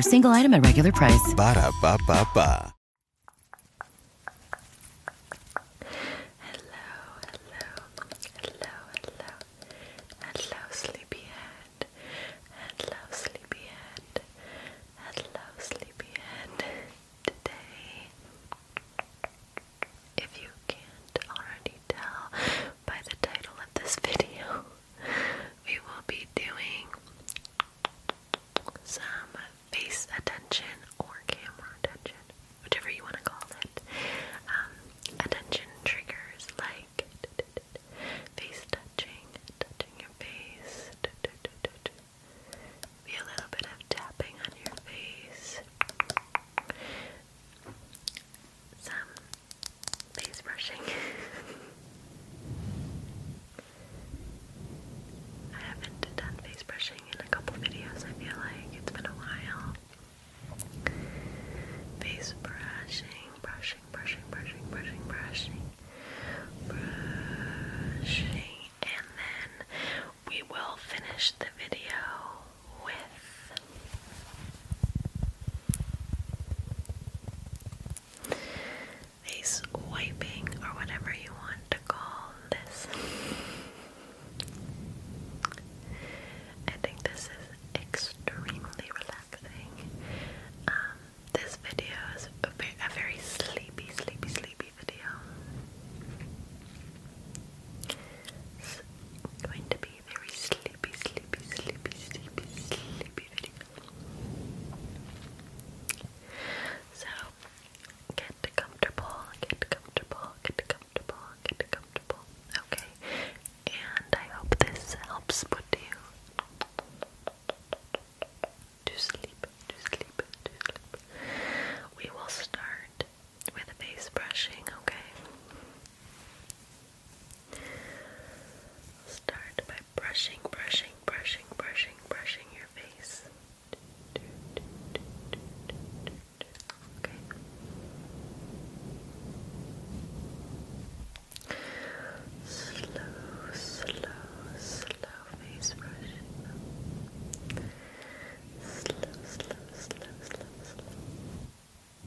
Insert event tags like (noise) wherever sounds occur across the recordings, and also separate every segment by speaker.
Speaker 1: single item at regular price.
Speaker 2: Ba da ba ba hello,
Speaker 3: hello, hello, sleepyhead. Hello, sleepyhead. Hello, sleepyhead. Today, if you can't already tell by the title of this video, we will be doing some face attention or camera attention, whichever you want to call it. Um, attention triggers like face touching, touching your face, a little bit of tapping on your face. Some face brushing. (laughs) I haven't done face brushing in a couple videos, I feel like. It's been a while. Face brushing, brushing, brushing, brushing, brushing, brushing, brushing, and then we will finish the video with a swiping or whatever you want to call this. I think this is extremely relaxing. Um, this video is a very sleepy, sleepy, sleepy video. It's going to be very sleepy. So get comfortable, get comfortable, get comfortable, get comfortable. Okay, and I hope this helps put you to sleep, to sleep, to sleep. We will start with face brushing, okay? Start by brushing, brushing, brushing, brushing, brushing your face. Okay. Slow, slow, slow face brushing. Slow, slow, slow, slow, slow.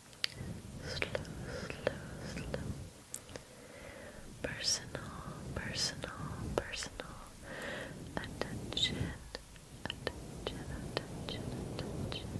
Speaker 3: slow, slow, slow. Personal, personal, personal attention, attention, attention, attention,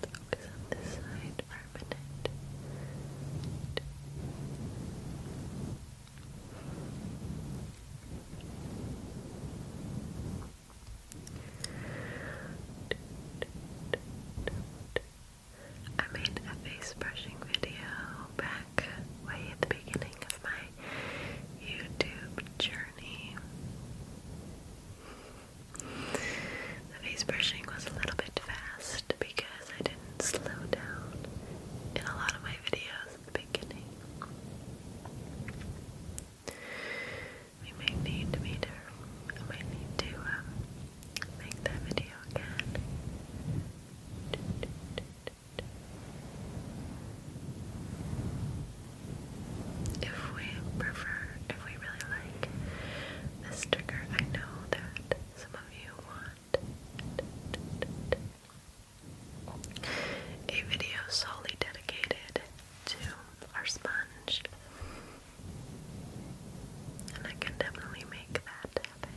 Speaker 3: focus on this side for I made a face brushing video back way at the beginning of my my YouTube journey. The face brushing was a little bit fast because I didn't slow down in a lot of my videos at the beginning. We may need me to, I might need to um, make that video again. If we prefer, if we really like this trigger, I know that some of you want a video solely dedicated to our sponge. And I can definitely make that happen.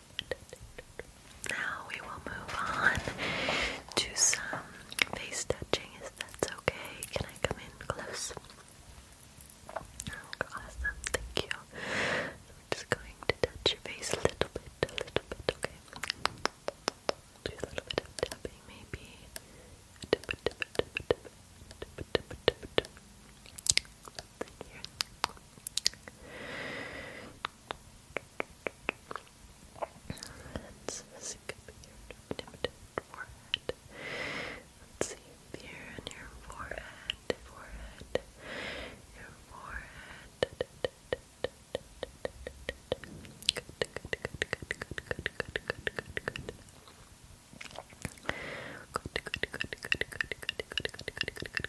Speaker 3: now we will move on to some face touching. Is that okay? Can I come in close? Oh, awesome, thank you. just going to touch your face a little bit, a little bit, okay? Do a little bit of tapping, maybe something here. Let's skip your forehead. Let's see here on your forehead, forehead, your forehead. good, good, good, good, good, good, good, good, good. Good, good, good, good, good, good, good, good, good, good, good, good,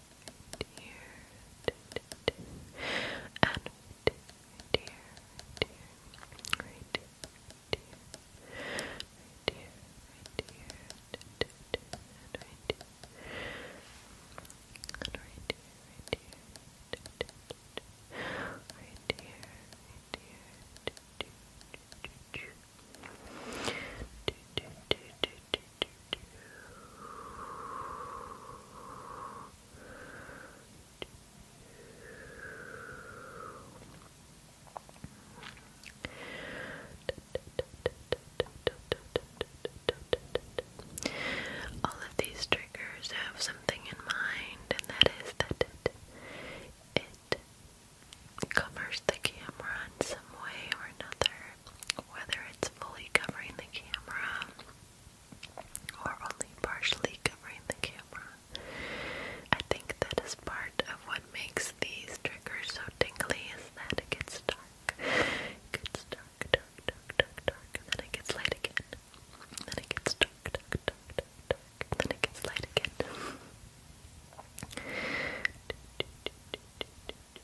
Speaker 3: dear, dear, and dear, dear, right dear, dear, right dear, right dear, and right dear, and right dear, right dear, right dear, right dear, do do do do do do do do all of these triggers have something in mind, and that is that it, covers the camera in some way or another, whether it's fully covering the camera or only partially covering the camera. I think that is part of what makes these triggers so tingly is that it gets dark. gets dark, dark, dark, dark, then it gets light again. then it gets dark, dark, dark, dark, then it gets light again.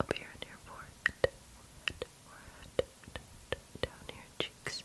Speaker 3: up here in your forehead, forehead, more down your cheeks. cheeks.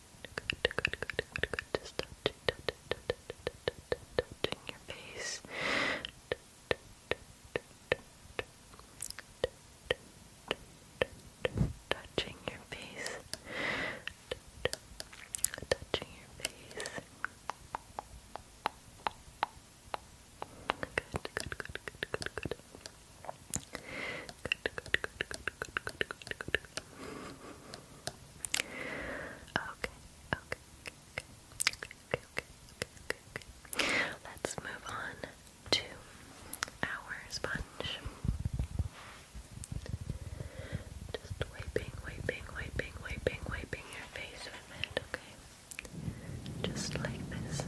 Speaker 3: touching, touching your face. Touching your face. Touching your face. Good, good, good, good, good, good good, good, good, good, good, good, good. Okay, okay, okay, okay, okay, okay, okay, okay. Let's move on to our sponge. Just wiping, wiping, wiping, wiping, wiping your face with it, okay? Just like this. Okay.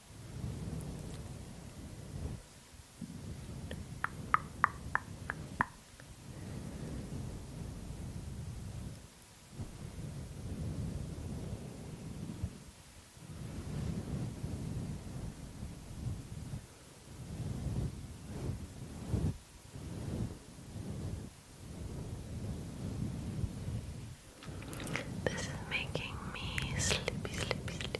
Speaker 3: This is making me sleepy, sleepy, sleepy.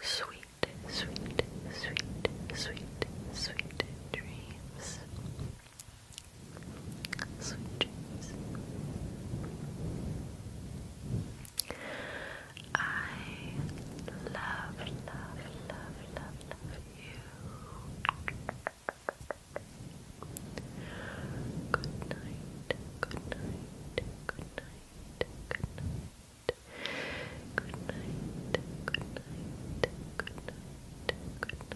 Speaker 3: sweet, sweet, sweet, sweet, sweet dreams. Sweet dreams. I love, love, love, love, love you. Good night, good night, good night, good night. Good night. Good
Speaker 2: night. Good night. Good night.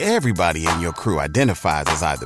Speaker 2: Everybody in your crew identifies as either